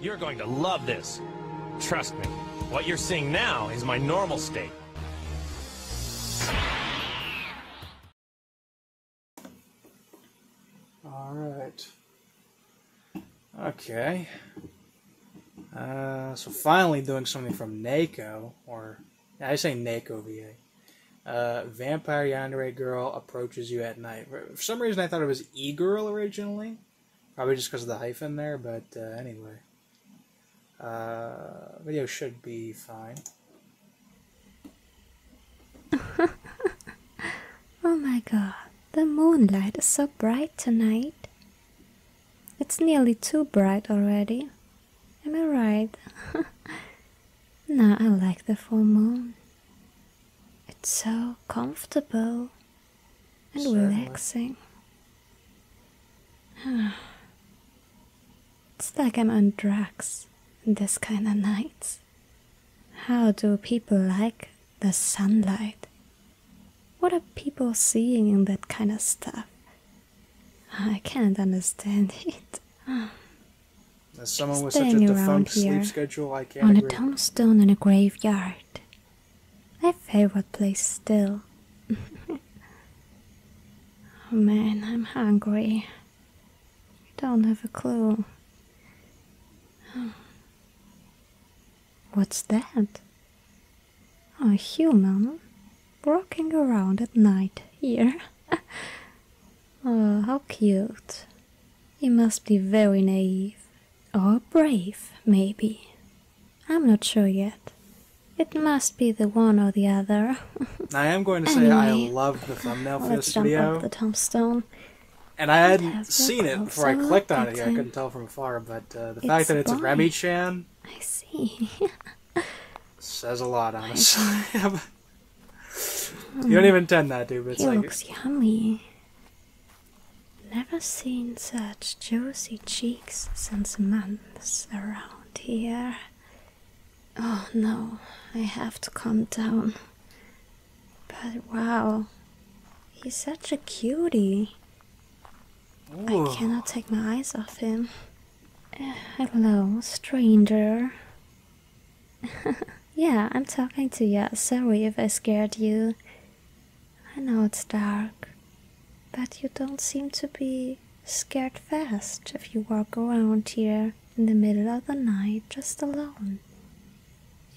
You're going to love this. Trust me, what you're seeing now is my normal state. All right. Okay. Uh, so finally doing something from Nako, or I say Nako VA. Uh, Vampire Yandere Girl approaches you at night. For some reason I thought it was E-Girl originally. Probably just because of the hyphen there, but uh, anyway. Uh, video should be fine. oh my god, the moonlight is so bright tonight. It's nearly too bright already. Am I right? no, I like the full moon. It's so comfortable and relaxing. it's like I'm on drugs this kind of nights. How do people like the sunlight? What are people seeing in that kind of stuff? I can't understand it. As someone Staying with such a defunct sleep schedule, I can't. On a tombstone in a graveyard, my favorite place still. oh man, I'm hungry. You don't have a clue. What's that? a human walking around at night here. oh, how cute. He must be very naive or brave, maybe. I'm not sure yet. It must be the one or the other. I am going to say anyway, I love the thumbnail for this video. the tombstone. And I hadn't seen it before I clicked on it here. I couldn't tell from afar, but uh, the fact that it's boring. a Remy Chan. I see. says a lot, honestly. you don't even intend that, dude. But it's he like, looks yummy. Never seen such juicy cheeks since months around here. Oh no, I have to calm down. But wow, he's such a cutie. I cannot take my eyes off him. Uh, hello, stranger. yeah, I'm talking to you. Sorry if I scared you. I know it's dark, but you don't seem to be scared fast if you walk around here in the middle of the night just alone.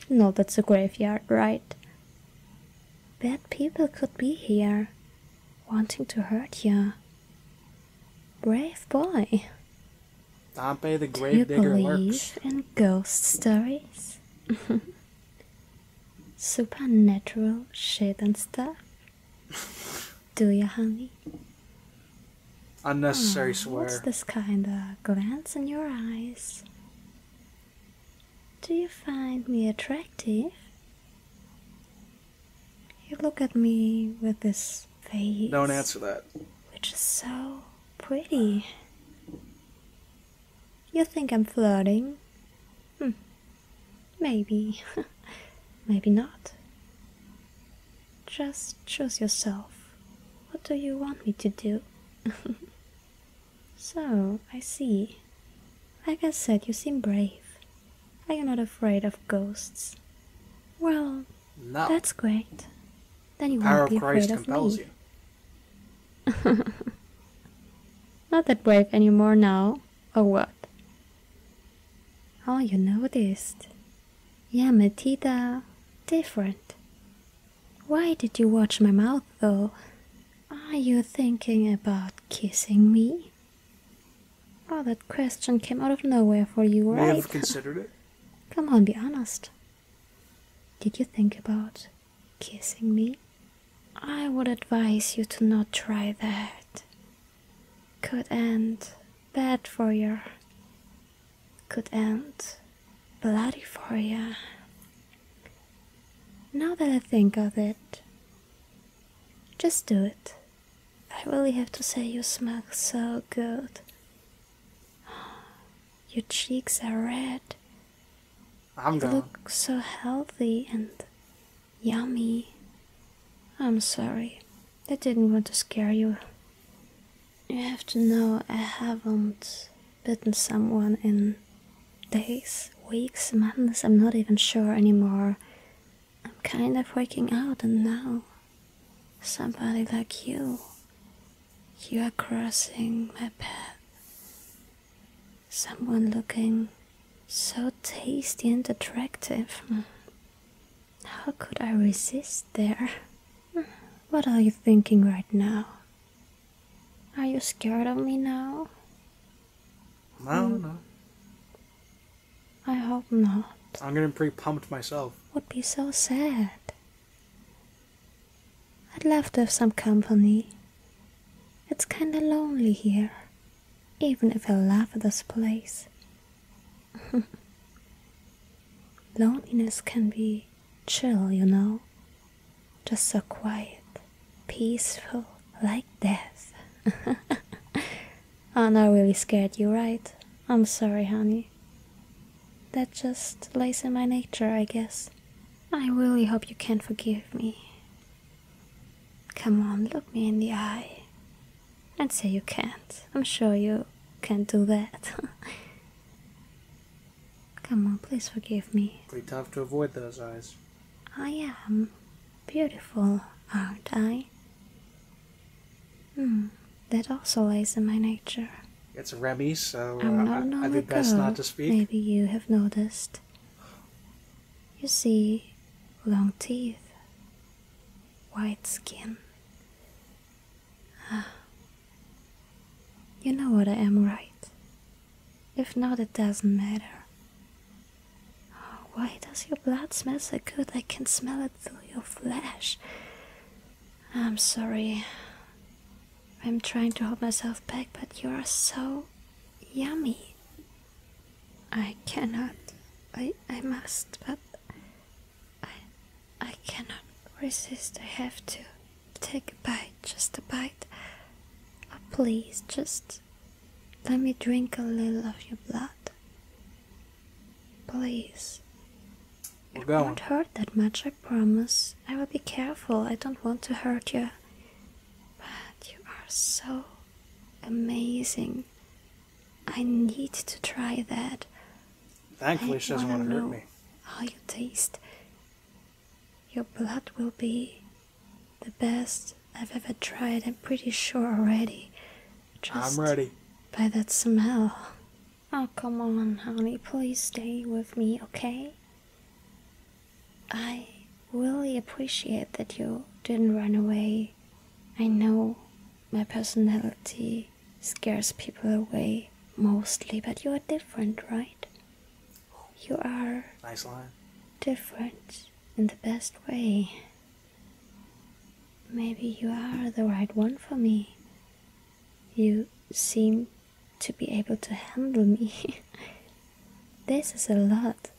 You know that's a graveyard, right? Bad people could be here, wanting to hurt you. Brave boy. Dante you believe in ghost stories? supernatural shit and stuff. Do you, honey? Unnecessary oh, swear. What's this kind of glance in your eyes? Do you find me attractive? You look at me with this face. Don't answer that. Which is so pretty. You think I'm flirting? Hmm. Maybe. Maybe not. Just choose yourself. What do you want me to do? so, I see. Like I said, you seem brave. Are you not afraid of ghosts? Well, that's great. Then you won't be afraid of me. Not that brave anymore now, or what? Oh, you noticed. Yeah, Metita. Different. Why did you watch my mouth, though? Are you thinking about kissing me? Oh, that question came out of nowhere for you, right? I have considered it. Come on, be honest. Did you think about kissing me? I would advise you to not try that. Could end bad for you. Could end bloody for you. Now that I think of it, just do it. I really have to say you smell so good. Your cheeks are red. I'm done. Look so healthy and yummy. I'm sorry. I didn't want to scare you. You have to know I haven't bitten someone in days, weeks, months, I'm not even sure anymore. I'm kind of working out and now somebody like you, you are crossing my path. Someone looking so tasty and attractive. How could I resist there? What are you thinking right now? Are you scared of me now? Hmm. No, no. I hope not. I'm getting pretty pumped myself. Would be so sad. I'd love to have some company. It's kinda lonely here, even if I love this place. Loneliness can be chill, you know, just so quiet, peaceful, like death. oh, no, I really scared you, right? I'm sorry, honey. That just lays in my nature, I guess. I really hope you can forgive me. Come on, look me in the eye and say you can't. I'm sure you can't do that. Come on, please forgive me. Pretty tough to avoid those eyes. I am beautiful, aren't I? Hmm, that also lies in my nature. It's Remy, so uh, I'd best not to speak. Maybe you have noticed. You see, long teeth, white skin. Ah. You know what I am right. If not, it doesn't matter. Oh, why does your blood smell so good? I can smell it through your flesh. I'm sorry. I'm trying to hold myself back, but you are so yummy. I cannot. I I must, but I I cannot resist. I have to take a bite, just a bite. Oh, please, just let me drink a little of your blood. Please. we it won't hurt that much, promise I will be careful. I don't want to hurt you. But you are so amazing. I need to try that. Thankfully, she doesn't want to hurt me. How you taste. Your blood will be the best I've ever tried. I'm pretty sure already. Just I'm ready. By that smell. Oh, come on, honey. Please stay with me, okay? I really appreciate that you didn't run away. I know my personality scares people away mostly, but you are different, right? You are. Nice line. Different in the best way. Maybe you are the right one for me. You seem to be able to handle me. this is a lot.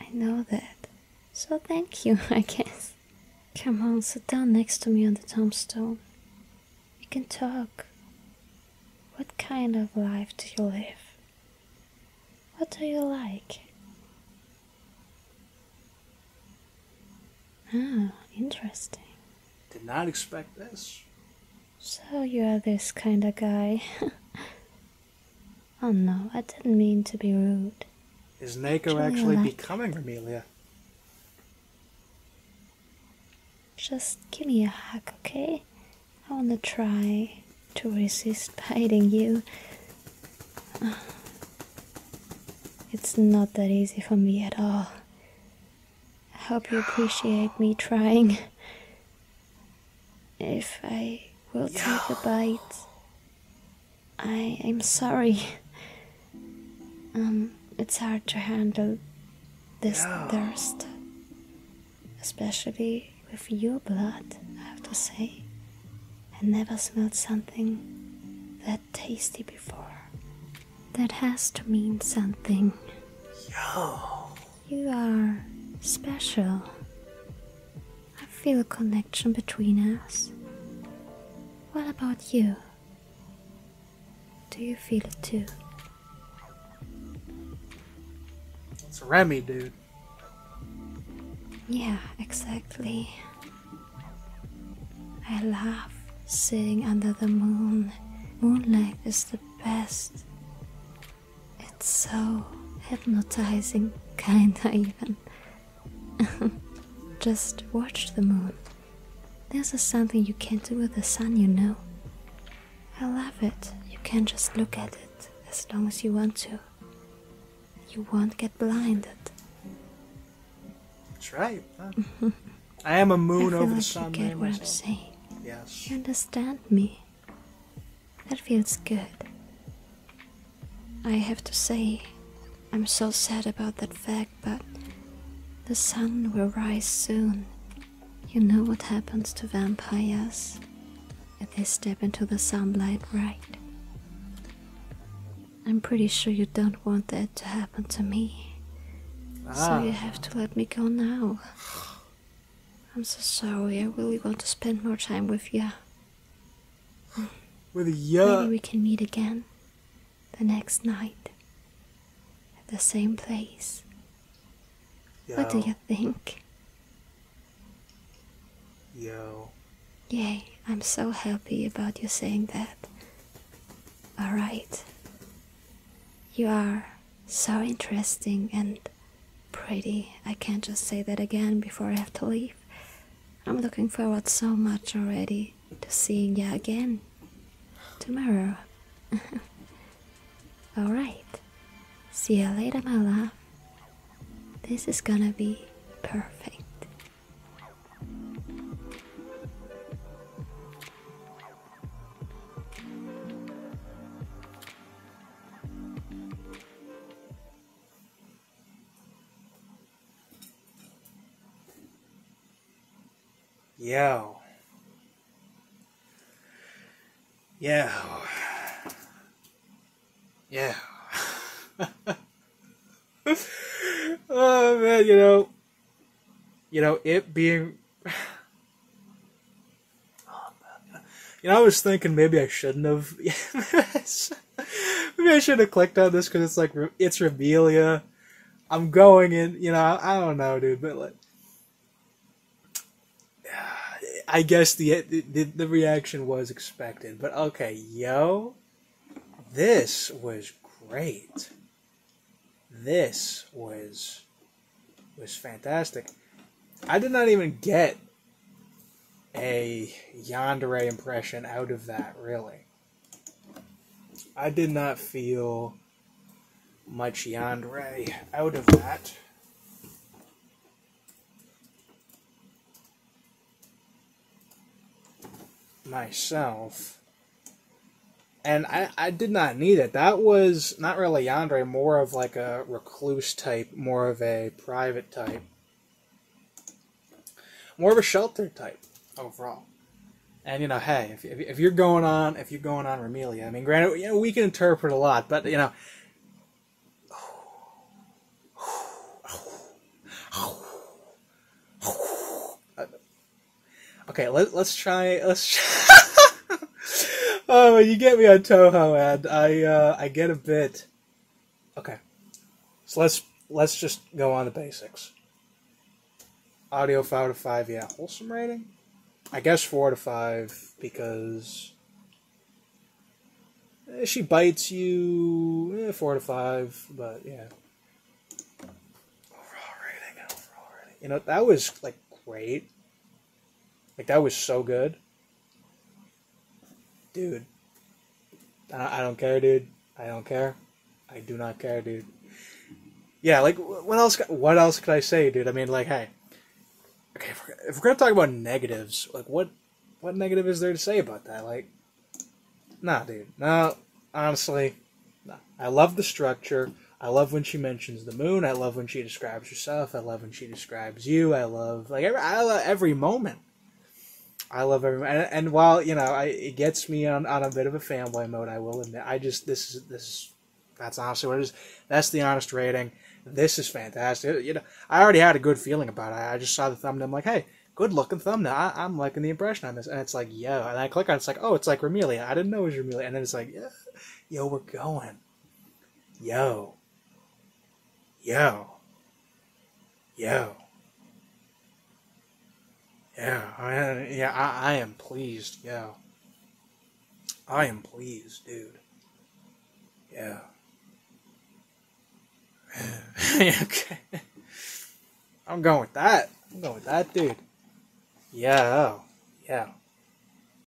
I know that. So thank you, I guess. Come on, sit down next to me on the tombstone. We can talk. What kind of life do you live? What do you like? Ah, interesting. Did not expect this. So you are this kind of guy. oh no, I didn't mean to be rude. Is Nako actually becoming Romelia? Just give me a hug, okay? I want to try to resist biting you. It's not that easy for me at all. I hope you appreciate me trying. If I will take a bite, I am sorry. Um, it's hard to handle this thirst, especially with your blood, I have to say. I never smelled something that tasty before. That has to mean something. Yo. You are special. I feel a connection between us. What about you? Do you feel it too? It's Remy, dude. Yeah, exactly. I love sitting under the moon. Moonlight is the best. It's so hypnotizing, kinda even. Just watch the moon. This is something you can't do with the sun, you know. I love it. You can just look at it as long as you want to. You won't get blinded. That's right. I am a moon I feel over like the sun. You get what I'm saying. Yes. You understand me. That feels good. I have to say, I'm so sad about that fact, but the sun will rise soon. You know what happens to vampires if they step into the sunlight, right? I'm pretty sure you don't want that to happen to me. So ah. you have to let me go now. I'm so sorry. I really want to spend more time with you. With you. Maybe we can meet again the next night at the same place. What do you think? Yeah. Yay, I'm so happy about you saying that. Alright. You are so interesting and Pretty. I can't just say that again before I have to leave. I'm looking forward so much already to seeing ya again tomorrow. Alright, see ya later, my love. This is gonna be perfect. Yeah. Yo. Yeah. oh man, you know, you know, it being you know, I was thinking maybe I shouldn't have. maybe I should have clicked on this because it's like it's Rebelia. I'm going in. You know, I don't know, dude, but like. I guess the, the the reaction was expected, but okay, yo, this was great. This was was fantastic. I did not even get a Yandere impression out of that, really. I did not feel much Yandere out of that. Myself. And I, I did not need it. That was not really Yandere, more of like a recluse type, more of a private type, more of a shelter type overall. And you know, hey, if, you're going on, if you're going on Remelia, I mean, granted, you know, we can interpret a lot, but you know, okay, let, let's try, let's. Try oh, you get me on Toho, and I uh, I get a bit. Okay, so let's let's just go on the basics. Audio five to five, yeah, wholesome rating. I guess four to five because eh, she bites you. Eh, four to five, but yeah. Overall rating, overall rating. You know that was like great. Like that was so good, dude. I don't care, dude. I don't care. I do not care, dude. Yeah, like what else? What else could I say, dude? I mean, like, hey, okay, if we're, gonna talk about negatives, like, what what negative is there to say about that? Like, nah, dude. No, honestly, nah. I love the structure. I love when she mentions the moon. I love when she describes herself. I love when she describes you. I love like every, every moment. I love every and, while you know I, it gets me on, on a bit of a fanboy mode. I will admit I just this is this that's honestly what That's the honest rating. This is fantastic. You know I already had a good feeling about it. I just saw the thumbnail. I'm like, hey, good looking thumbnail. I, am liking the impression on this. And it's like, yo. And I click on it, it's like, oh, it's like Romelia. I didn't know it was Romelia. And then it's like, yeah, yo, we're going. Yo. Yo. Yo. Yeah, yeah, I, I am pleased. Yeah. I am pleased, dude. Yeah. okay. I'm going with that. I'm going with that, dude. Yo. Yeah.